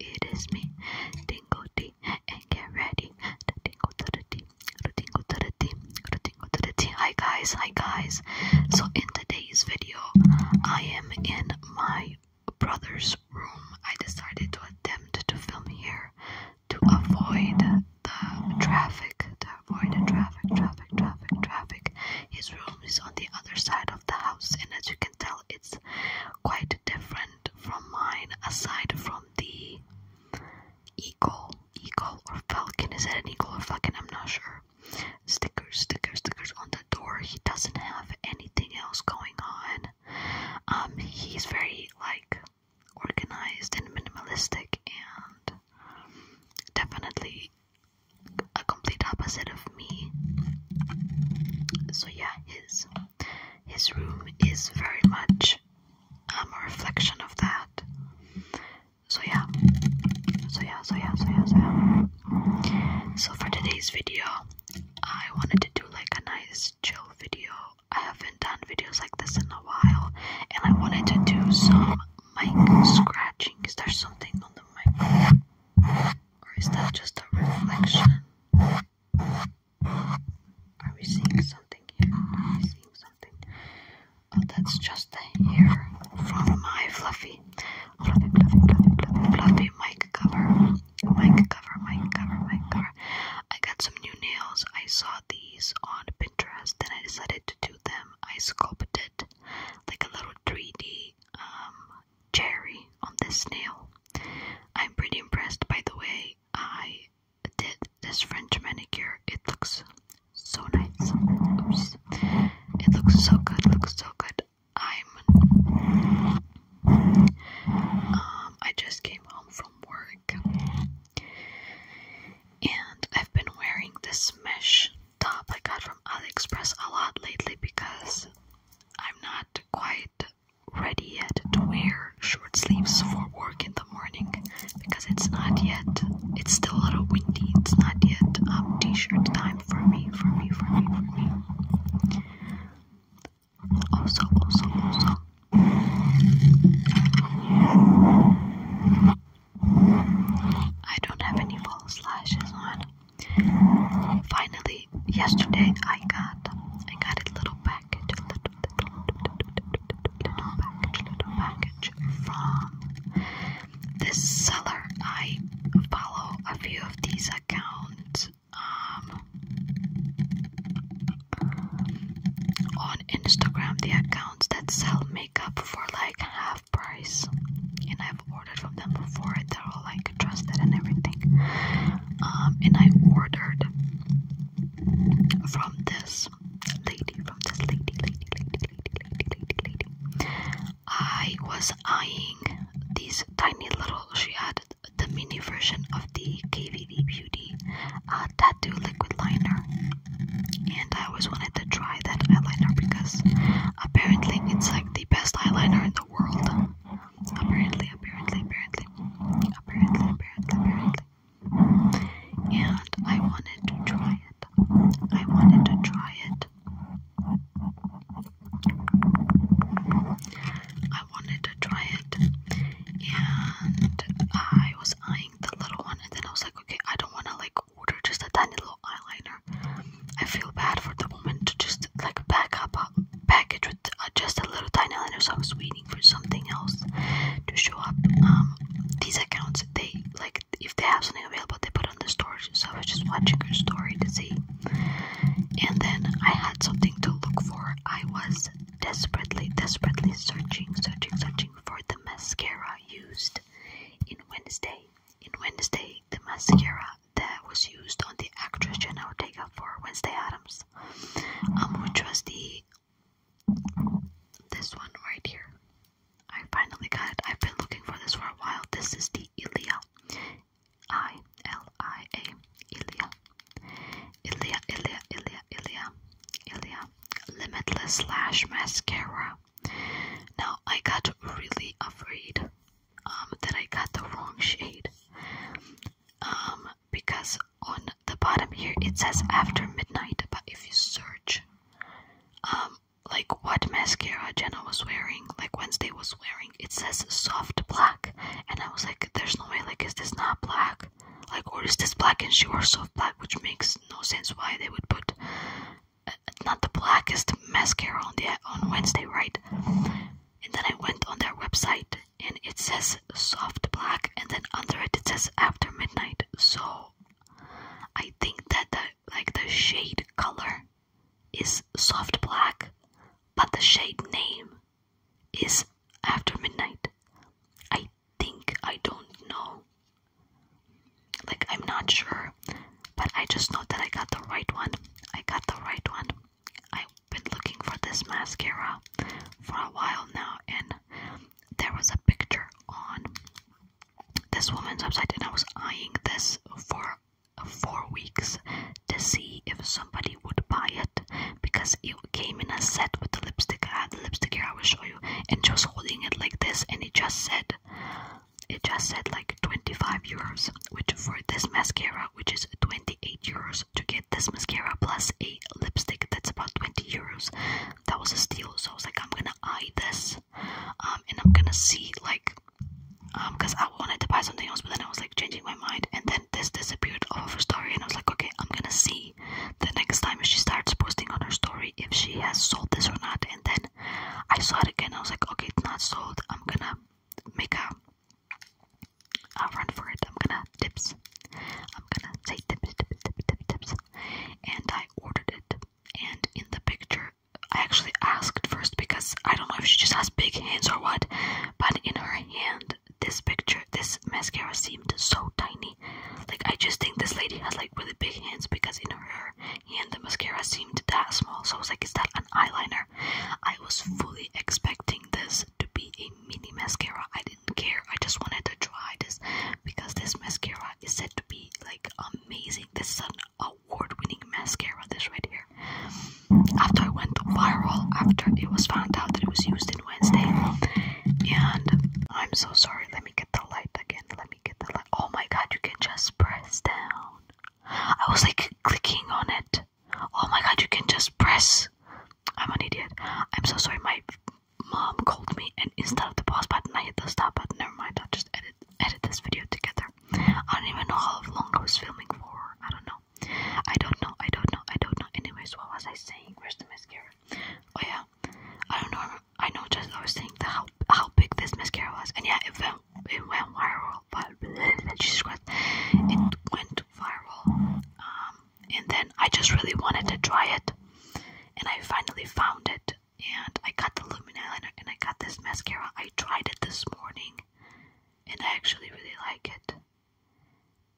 now it is me. Tingle D and get ready. The tingle to the D, the tingle to the D, the tingle to the D. Hi guys, hi guys. So in today's video, I am in my brother's room. I decided to attempt to film here to avoid the traffic, to avoid the traffic, traffic, traffic, traffic. His room is on the other side of the house, and as you can tell it's quite different from mine aside from the eagle eagle or falcon is it an eagle or falcon i'm not sure stickers stickers stickers on the door he doesn't have anything else going on um he's very like organized and minimalistic and definitely a complete opposite of me so yeah his his room is very much um, a reflection of that. So yeah, so yeah, so yeah, so yeah, so yeah. So for today's video, I wanted to do like a nice chill video. I haven't done videos like this in a while, and I wanted to do some mic scratching. Is there something on the mic? Or is that just a reflection? Are we seeing something here? Are we seeing something? Oh, that's just the hair from my fluffy, fluffy, fluffy, fluffy, fluffy, fluffy mic cover. Mic cover, mic cover, mic cover. I got some new nails. I saw these on Pinterest, then I decided to do them. I sculpted like a little 3D cherry on this snail. I'm pretty impressed by the way I did this French manicure. It looks so nice. It looks so good, looks so good. I'm um I just came home from work and I've been wearing this mesh top I got from AliExpress a lot lately because I'm not quite ready yet to wear short sleeves for work in the morning because it's not yet it's still a little windy it's not yet um, t-shirt time for me for me for me for me also also also I don't have any false lashes on Finally, yesterday I got I got a little package, a little, little, little little package from this seller. I follow a few of these accounts um, on Instagram. The accounts that sell makeup for like half price, and I've ordered from them before like trusted and everything. Um, and I ordered from this lady, from this lady, lady, lady, lady, lady, lady, lady. I was eyeing these tiny little. She had the mini version of the KVD Beauty uh, tattoo liquid liner, and I always wanted to try that eyeliner because apparently it's like the best eyeliner in the world apparently, apparently, apparently, apparently, apparently, apparently. And I wanted to try it. I wanted to try it. I wanted to try it, and I was eyeing the little one, and then I was like, okay, I don't want to like order just a tiny little eyeliner. I feel bad for the woman to just like a backup uh, package with uh, just a little tiny letter. So I was waiting for something else to show up. Um, these accounts, they like if they have something available, they put on the store. So I was just watching her story to see. And then I had something to look for. I was desperately, desperately searching, searching, searching for the mascara used in Wednesday. In Wednesday, the mascara that was used on the actress Jenna Ortega for Wednesday Adams, um, which was the this one right here. I finally got it. I've been looking for this for a while. This is the Ilia, I L I A, Ilia, Ilia, Ilia, Ilia, Ilia, Ilia, Limitless Lash Mascara. Now I got really afraid um, that I got the wrong shade. Um, because on the bottom here it says after midnight, but if you search, um, like what mascara Jenna was wearing, like Wednesday was wearing, it says soft black, and I was like, there's no way, like, is this not black? Like, or is this black and she wore soft black, which makes no sense why they would put uh, not the blackest mascara on the on Wednesday, right? and then I went on their website and it says soft black and then under it it says after midnight so I think that the like the shade color is soft black but the shade name is after midnight I think I don't know like I'm not sure but I just know that I got the right one I got the right one I've been looking for this mascara for a while now, and there was a picture on this woman's website, and I was eyeing this for four weeks to see if somebody would buy it because it came in a set with the lipstick. I have the lipstick here, I will show you, and she was holding it like this, and it just said, it just said like 25 euros, which for this mascara which is 28 euros, to get this mascara plus a lipstick that's about 20 euros. That was a steal, so I was like, I'm gonna eye this, um, and I'm gonna see like, um, because I wanted to buy something else, but then I was like changing my mind, and then this disappeared off of her story, and I was like, okay, I'm gonna see the next time she starts posting on her story if she has sold this or not, and then I saw it again. I was like, okay, it's not sold. I'm gonna make a I'll run for it. I'm gonna tips. I'm gonna say tips, tips, tips, tips, tips. And I ordered it. And in the picture, I actually asked first because I don't know if she just has big hands or what, but in her hand, this picture, this mascara seemed so tiny. Like, I just think this lady has like really big hands because in her hand, the mascara seemed that small. So I was like, is that an eyeliner? I was fully expecting this to be a mini mascara. I didn't care. I just wanted to try this because this mascara is said to be like amazing. This is an award-winning mascara. This right here. After it went viral, after it was found out that it was used in Wednesday, and I'm so sorry. Let me get the light again. Let me get the light. Oh my God! You can just press down. I was like clicking on it. Oh my god, you can just press. I'm an idiot. I'm so sorry. My mom called me, and instead of the pause button, I hit the stop button. Never mind. I'll just edit edit this video together. I don't even know how long I was filming for. I don't know. I don't know. I don't know. I don't know. Anyways, what was I saying? Where's the mascara? Oh yeah. I don't know. I know. Just I was saying the how how big this mascara was, and yeah, it I it went viral, but Jesus Christ, it went viral. Um, and then I just really wanted to try it, and I finally found it. And I got the Lumen eyeliner, and I got this mascara. I tried it this morning, and I actually really like it.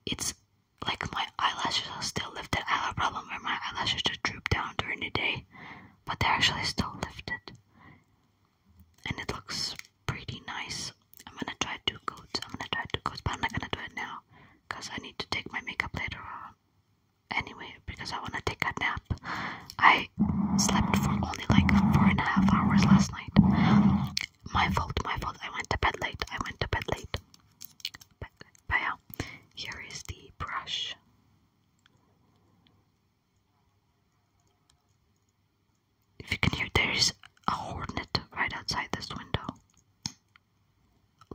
It's like my eyelashes are still lifted. I have a problem where my eyelashes just droop down during the day, but they're actually still lifted and it looks pretty nice. I'm gonna try two coats. I'm gonna try two coats, but I'm not gonna do it now because I need to take my makeup later on. Anyway, because I wanna take a nap. I slept for only like four and a half hours last night. My fault, my fault. I went to bed late. I went to bed late. But, here is the brush. If you can hear, there is a hornet right outside this window.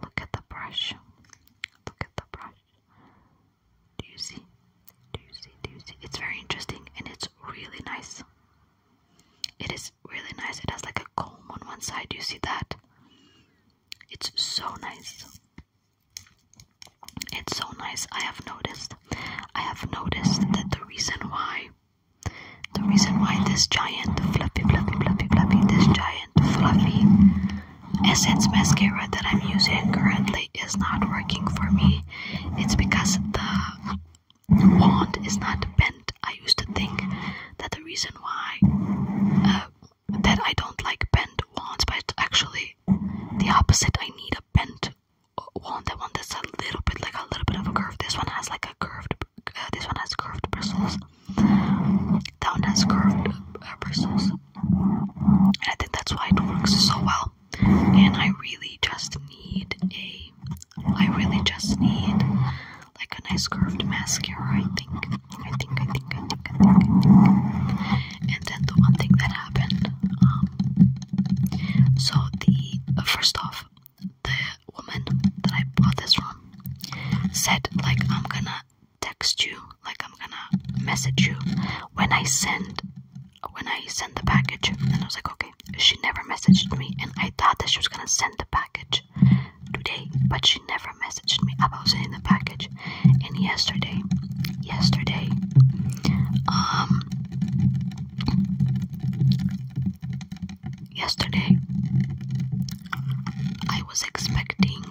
Look at the brush. Look at the brush. Do you see? Do you see? Do you see? It's very interesting and it's really nice. It is really nice. It has like a comb on one side. Do you see that? It's so nice. It's so nice. I have noticed. I have noticed that the reason why the reason why this giant fluffy, fluffy, fluffy, fluffy, this giant fluffy Essence mascara that I'm using currently is not working for me. It's because the wand is not bent. I used to think that the reason why uh, that I don't like bent wands, but actually the opposite. I need a bent one the one that's a little bit like a little bit of a curve. This one has like a curved. Uh, this one has curved bristles. That one has curved uh, bristles, and I think that's why it works so well. And I really just need a. I really just need like a nice curved mascara. I think. I think. I think. I think. I think. I think. And then the one thing that happened um, so the uh, first off, the woman that I bought this from said like I'm gonna text you, like I'm gonna message you when I send when I send the package. And I was like, okay. She never messaged me, and I thought that she was gonna send the package today, but she never messaged me about sending the package. And yesterday, yesterday, um, Yesterday, I was expecting,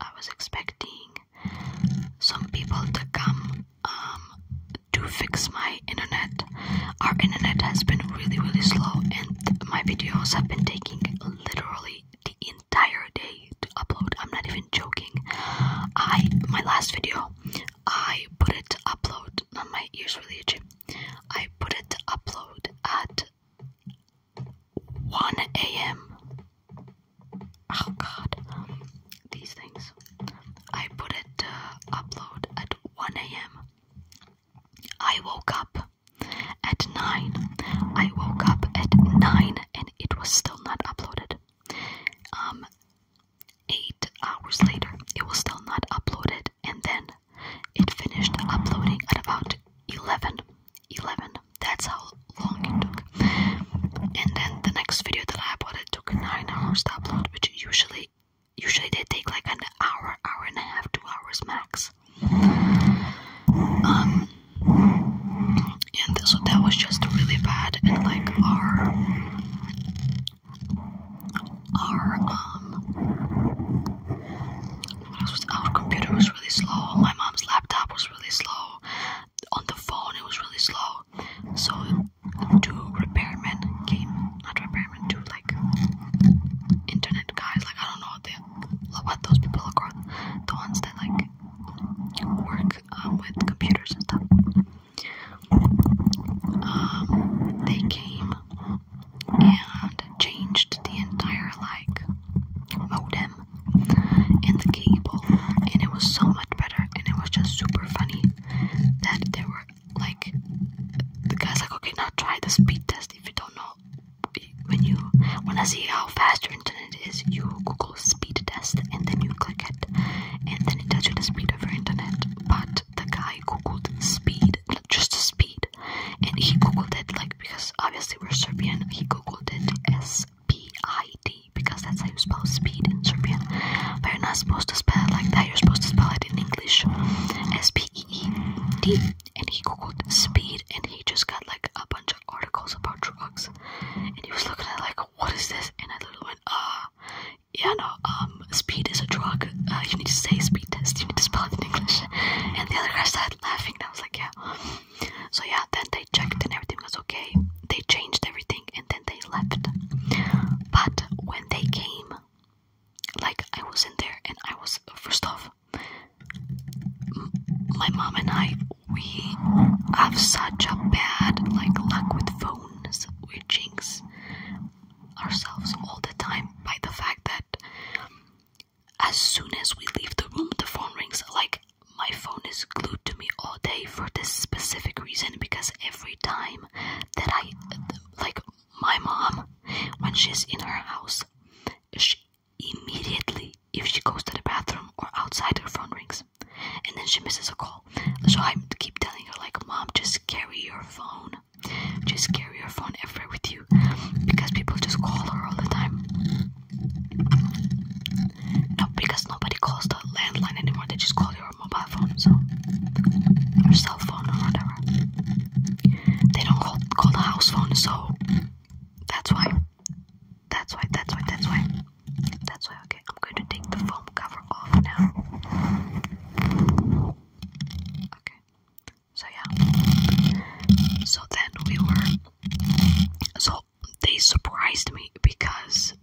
I was expecting some people to come um, to fix my internet. Our internet has been really, really slow, and my videos have been taking literally the entire day to upload. I'm not even joking. I my last video I put it to upload. Not my ears really itchy. I put it to upload at 1 a.m. Oh god, these things. I put it to upload at 1 a.m. I woke up at 9. I woke up at 9 and it was still not uploaded. Um, Eight hours later, it was still not uploaded, and then it finished uploading at about 11. 11. That's how long it took. And then the next video that I uploaded took 9 hours to upload, which usually usually they take like an hour, hour and a half, 2 hours max. Um and so that was just really bad and like our our um was, our computer was really slow, my mom's laptop was really slow, on the phone it was really slow. So two repairmen came, not repairmen, two like internet guys, like I don't know what they what those people are called. The ones that like work um, with computers and stuff they came and changed the entire like modem and the cable, and it was so much better, and it was just super funny that there were like the guy's like, okay, now try the speed test if you don't know when you want to see how fast your internet is, you Google speed test and then you click it, and then it tells you the speed of your internet but the guy googled speed, just speed, and he googled it like because obviously we're Serbian, he googled it S P I D because that's how you spell speed in Serbian, but you're not supposed to spell like that, you're supposed to spell it in English S P E E D. And he googled speed and he just got like a bunch of articles about drugs, and he was looking at like, What is this? And I literally went, Ah yeah, no, um, speed is a drug. Uh, you need to say speed test. You need to spell it in English. And the other guy started laughing, and I was like, yeah. So yeah, then they checked and everything was okay. They changed everything, and then they left. But when they came, like I was in there, and I was first off, my mom and I, we have such a bad like luck with phones. We we jinx ourselves all the time by the fact that as soon as we leave the room, the phone rings. Like, my phone is glued to me all day for this specific reason because every time that I, like, my mom, when she's in her house, she immediately, if she goes to the bathroom or outside, her phone rings. And then she misses a call. So I keep telling her, like, Mom, just carry your phone. Just carry your phone everywhere with you. Because people just call her all the time. No, because nobody calls the landline anymore. They just call your mobile phone, so. Or cell phone, or whatever. They don't call, call the house phone, so. That's why. That's why, that's why, that's why. That's why, okay. I'm going to take the foam cover off now. Okay. So yeah. So then we were so they surprised me because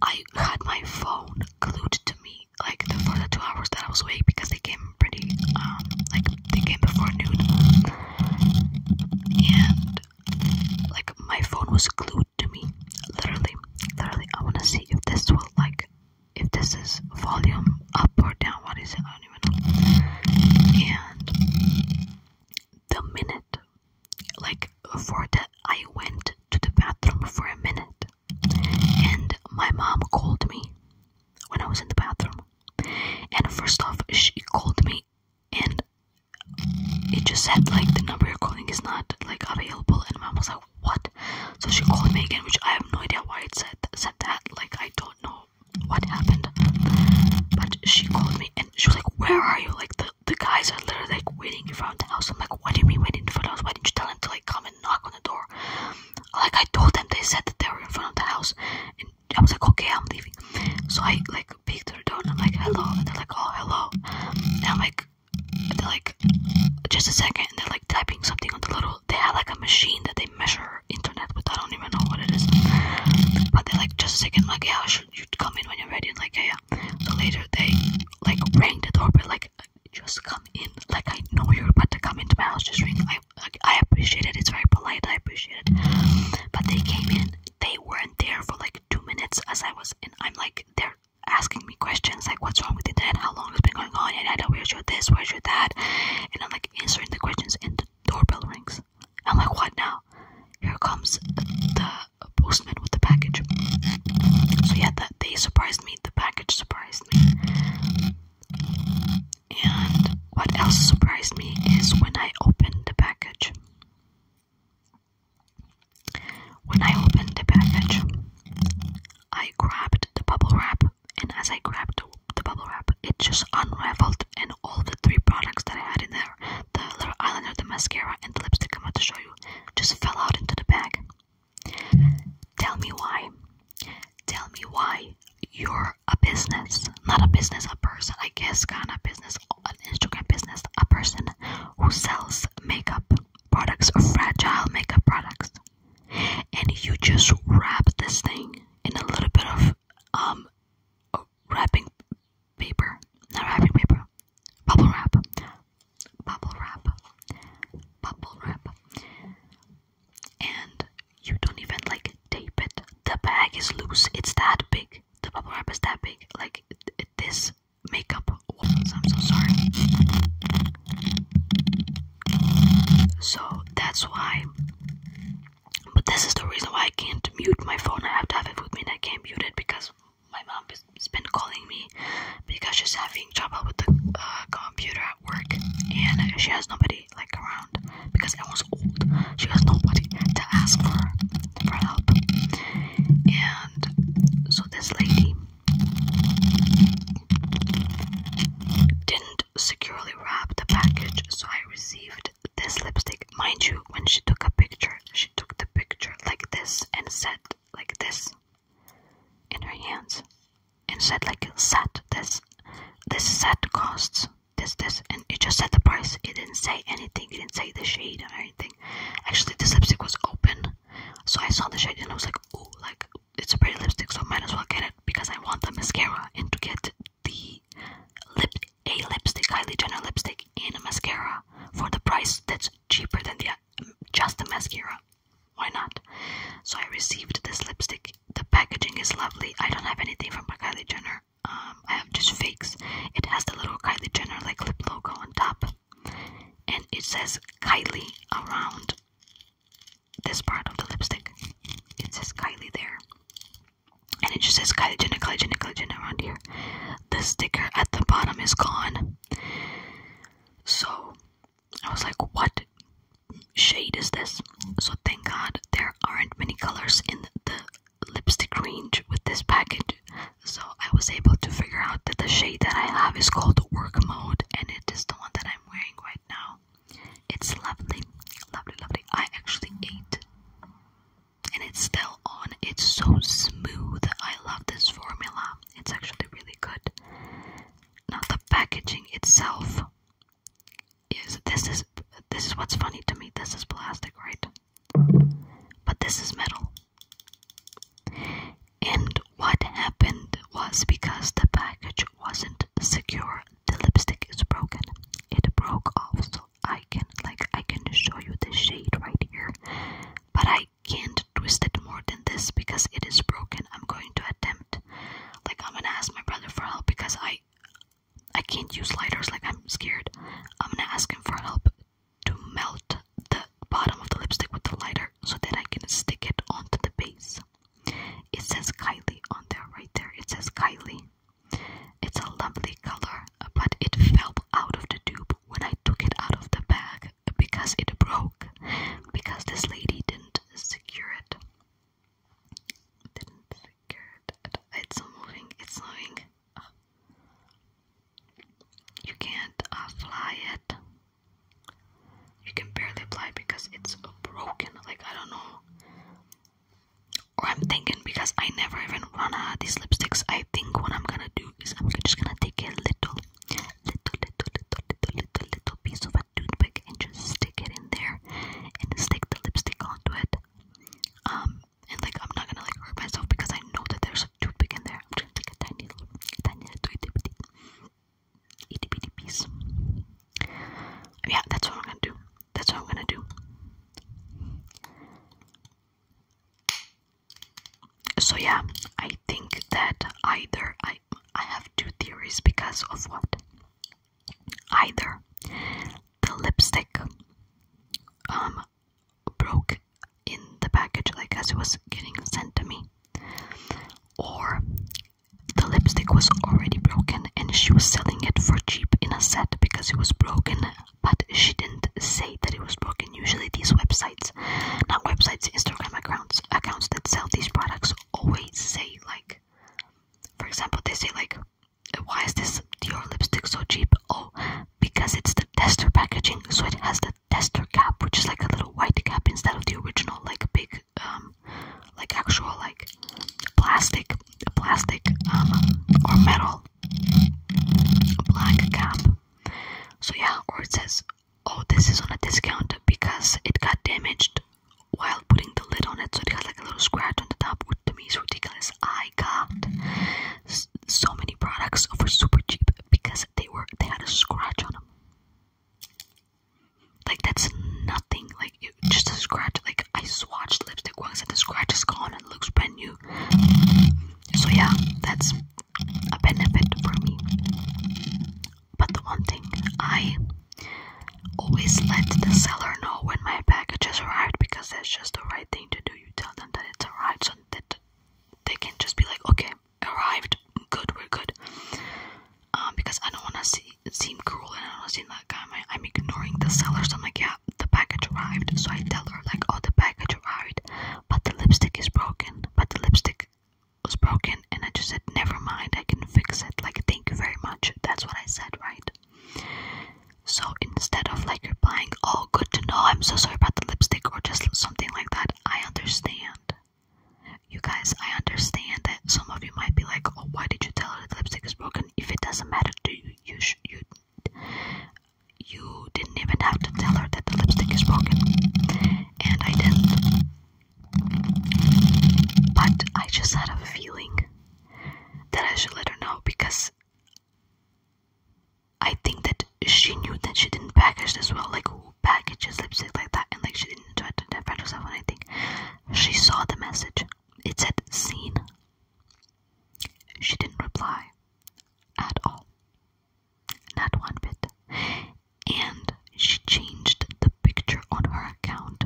I had my phone glued to me like for the two hours that I was awake because they came pretty um like they came before noon and like my phone was glued to me. Literally, literally, I wanna see if this will like if this is volume up or down. What is it? I don't even know. And the minute, like for that, I went to the bathroom for a minute, and my mom called me when I was in the bathroom. And first off, she called me, and it just said like the number you're calling is not like available and mom was like, what? So she called me again, which I have no idea why it said, said that. Like, I don't know what happened. But she called me and she was like, where are you? Like, the, the guys are literally like waiting in front of the house. I'm like, what do you mean waiting in front of the house? Why didn't you tell them to like come and knock on the door? Like, I told them they said that they were in front of the house. And I was like, okay, I'm leaving. So I like peeked through the door and I'm like, hello. And they're like, oh, hello. And I'm like, they're like, just a second, they're like typing something on the little. They have like a machine that they measure internet with. I don't even know what it is, but they're like, just a second, like yeah, should you come in when you're ready? And like yeah, yeah. So later they like rang the doorbell, like just come in. Like I know you're about to come into my house. Just ring. I I appreciate it. It's very polite. I appreciate it. But they came in. They weren't there for like two minutes as I was, and I'm like, they're asking me questions like what's wrong with the dad, how long it's been going on, and I don't where's your this, where's your that, and I'm like answering the questions, and the doorbell rings. I'm like, what now? Here comes the postman with the package. So yeah, that they surprised me. The package surprised me. And what else surprised me is when I opened the package. When I opened the package, I grabbed the bubble wrap, and as I grabbed the bubble wrap, it just unraveled, and all the three products that I had in there the little eyeliner, the mascara, and the lipstick I'm about to show you just fell out into the bag. Tell me why. Tell me why you're a business, not a business, a person, I guess, kind of business, an Instagram business, a person who sells makeup, products are fragile makeup products. And you just wrap this thing in a little bit of um wrapping paper. Not wrapping paper. Bubble wrap. Bubble wrap. Bubble wrap. And you don't even like tape it. The bag is loose. It's that big. The bubble wrap is that big. Like this makeup I'm so sorry. So that's why. But this is the reason why I can't mute my phone. I have to have it with me, I can't mute it because my mom has been calling me because she's having trouble with the uh, computer at work, and she has nobody like around because everyone's old. She has nobody to ask for for help, and so this lady didn't securely wrap the package, so I received this lipstick. Mind you, when she took a picture, she took the picture like this and said like this in her hands and said like set this this set costs this this and it just said the price. It didn't say anything, it didn't say the shade or anything. Actually the lipstick was open so I saw the shade and I was like, ooh, like it's a pretty lipstick, so I might as well get it because I want the mascara and to get the lip a lipstick, Kylie Jenner lipstick and a mascara for the price that's cheaper than the uh, just the mascara. Why not? So I received this lipstick. The packaging is lovely. I don't have anything from Kylie Jenner. Um, I have just fakes. It has the little Kylie Jenner like lip logo on top and it says Kylie around this part of the lipstick. It says Kylie there. And it just says Kylie Jenner, Kylie Jenner, Kylie Jenner around here. The sticker at the bottom is gone. So I was like, what shade is this? So thank God there aren't many colors in the lipstick range with this package. So I was able to figure out that the shade that I have is called work mode and it is the one that I'm wearing right now. It's lovely, lovely, lovely. I actually ate and it's still on. It's so smooth. I love this formula. It's actually really good. Now the packaging itself is this is this is what's funny to me. This is plastic, right? But this is metal. And what happened was because the package wasn't secure, the lipstick is broken. It broke off, so I can like I can show you the shade right here, but I can't twist it more than this because it is broken. I'm going to attempt, like I'm gonna ask my brother for help because I I can't use lighters. Like I'm scared. I'm gonna ask him for help to melt the bottom of the lipstick with the lighter so that I can stick it onto the base. It says Kylie on there, right there. It says Kylie. It's a lovely color, but it fell out of the tube when I took it out of the bag because it broke. Because this lady didn't secure it. Didn't secure it. It's moving, it's moving you can't uh, fly it. You can barely fly because it's broken. Like I don't know. Or I'm thinking because I never even run out uh, of these lipsticks. I think what I'm gonna do is I'm just gonna take a little, little, little, little, little, little, little piece of a toothpick and just stick it in there and stick the lipstick onto it. Um, and like I'm not gonna like hurt myself because I know that there's too big there. I'm gonna take a tiny little, tiny little itty bitty, itty bitty piece. Yeah, that's what I'm gonna do. That's what I'm gonna do. So yeah, I think that either I I have two theories because of what? Either the lipstick um broke in the package like as it was getting sent to me or the lipstick was already broken and she was selling it for cheap in a set because it was broken but she didn't say that it was broken usually these websites not websites instagram accounts accounts that sell these products always say like for example they say like why is this your lipstick so cheap oh because it's the tester packaging so it has the tester cap, which is like a little white cap instead of the original, like big, um, like actual, like plastic, plastic, um, or metal black cap. So yeah, or it says, oh, this is on a discount because it got damaged while putting the lid on it, so it got like a little scratch on the top, which to me is ridiculous. I got so many products for super cheap because they were they had a scratch on them. Like that's nothing. Like it, just a scratch. Like I swatched lipstick once and the scratch is gone and looks brand new. So yeah, that's a benefit for me. But the one thing I always let the seller know when my packages arrived because that's just the right thing to do. You tell them that it's arrived so that they can just be like, okay, arrived, good, we're good. Um, because I don't want to seem cruel and I don't want to seem like I'm, i ignoring the seller. So I'm like, yeah, the package arrived. So I tell her like, oh, the package arrived, but the lipstick is broken. But the lipstick was broken, and I just said, never mind, I can fix it. Like, thank you very much. That's what I said, right? So instead of like replying, oh, good to know, I'm so sorry about the lipstick, or just something like that, I understand. You guys, I understand that some of you might be like, "Oh, why did you tell her the lipstick is broken? If it doesn't matter to you, you you you didn't even have to tell her that the lipstick is broken." And I didn't, but I just had a feeling that I should let her know because I think that she knew that she didn't package this well. Like who packages lipstick like that? And like she didn't try to defend herself. And I think she saw the message. It said "seen." She didn't reply at all, not one bit. And she changed the picture on her account.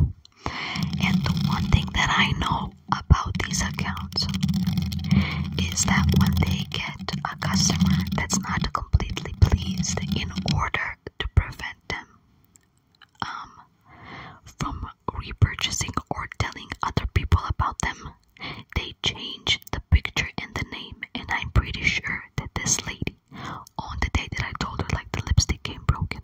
And the one thing that I know about these accounts is that when they get a customer that's not completely pleased in order to prevent them um, from repurchasing or telling other people about them. They change the picture and the name, and I'm pretty sure that this lady, on the day that I told her like the lipstick came broken,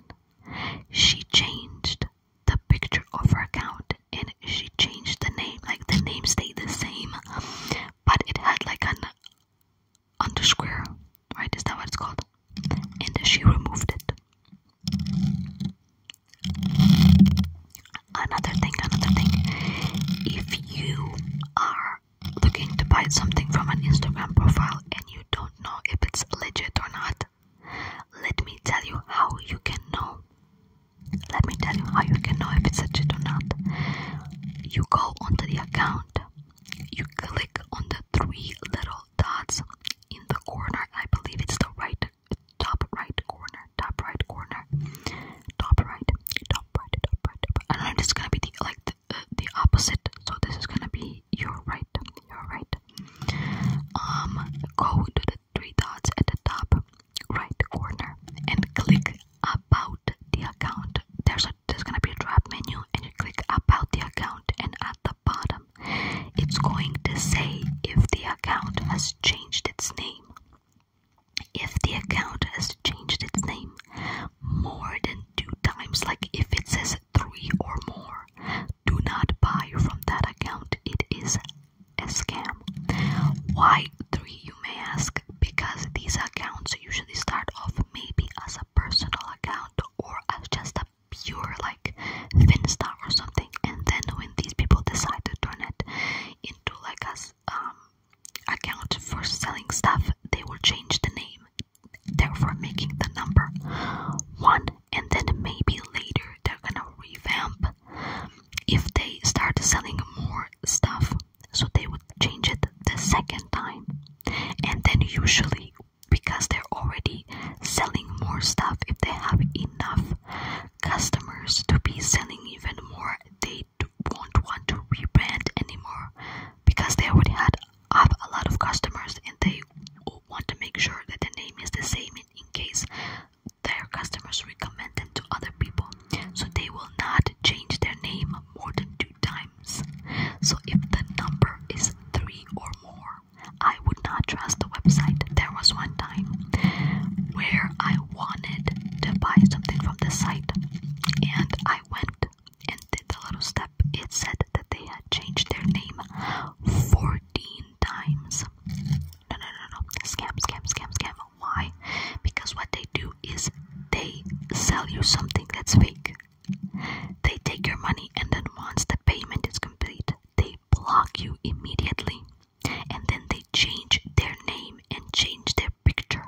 she changed the picture of her account and she changed the name like the name stayed the same but it had like an underscore right is that what it's called and she removed it another thing another thing if you are looking to buy something from an instagram profile and you don't know if it's legit or not let me tell you how you can know let me tell you how you can know if it's legit or not. You go onto the account, you click on the three little dots in the corner. I believe it's the right top right corner, top right corner, top right, top right, top right. Top right. And then it's gonna be the, like the, uh, the opposite. So this is gonna be your right, your right. Um, go to the three dots at the top right corner and click about the account. There's a there's gonna be a drop menu and you click about the account and at the bottom it's going to say if the account has changed its name. If the account has changed its name more than two times, like if it says three or more, do not buy from that account. It is a scam. Why three, you may ask? Because these accounts usually start off maybe as a personal account or as just a pure like Finsta or something, and then when these people decide to turn it into like a um, account for selling stuff, they will change the name, therefore making the number one, and then maybe later they're gonna revamp if they start selling more stuff. So they would change it the second time. And then usually because they're already selling more stuff, if they have enough customers to be selling even more, they won't want to rebrand anymore because they already had have a lot of customers and they want to make sure that the name is the same in case their customers recommend them to other people, so they will not change their name more than two times. So if the number is three or more, I would not trust the website. There was one time where I wanted to buy something from the site, and I went and did the little step. It said that they had changed their name 14 times. No, no, no, no. Scam, scam, scam, scam. Why? because what they do is they sell you something that's fake. They take your money and then once the payment is complete, they block you immediately and then they change their name and change their picture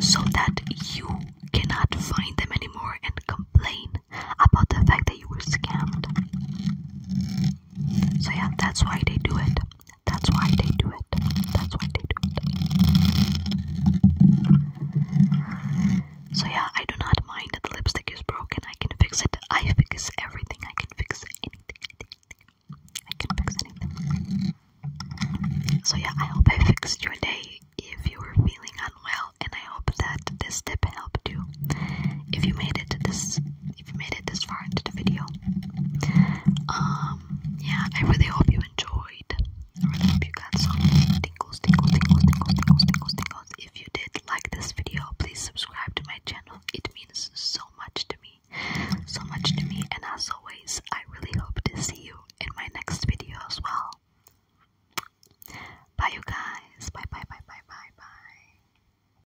so that you cannot find them anymore and complain about the fact that you were scammed. So yeah, that's why they do it. That's why they do it. That's why they do it. So yeah, I do not mind that the lipstick is broken. I can fix it. I fix everything. I can fix anything. I can fix anything. So yeah, I hope I fixed your day if you were feeling unwell and I hope that this tip helped you. If you made it to this if you made it this far into the video. Um, yeah, I really hope you enjoyed. I really hope you got some tingles, tingles, tingles, tingles, tingles, tingles, tingles. If you did like this video, please subscribe to my channel. It means so much to me. So much to me. And as always, I really hope to see you in my next video as well. Bye, you guys. Bye, bye, bye, bye, bye, bye.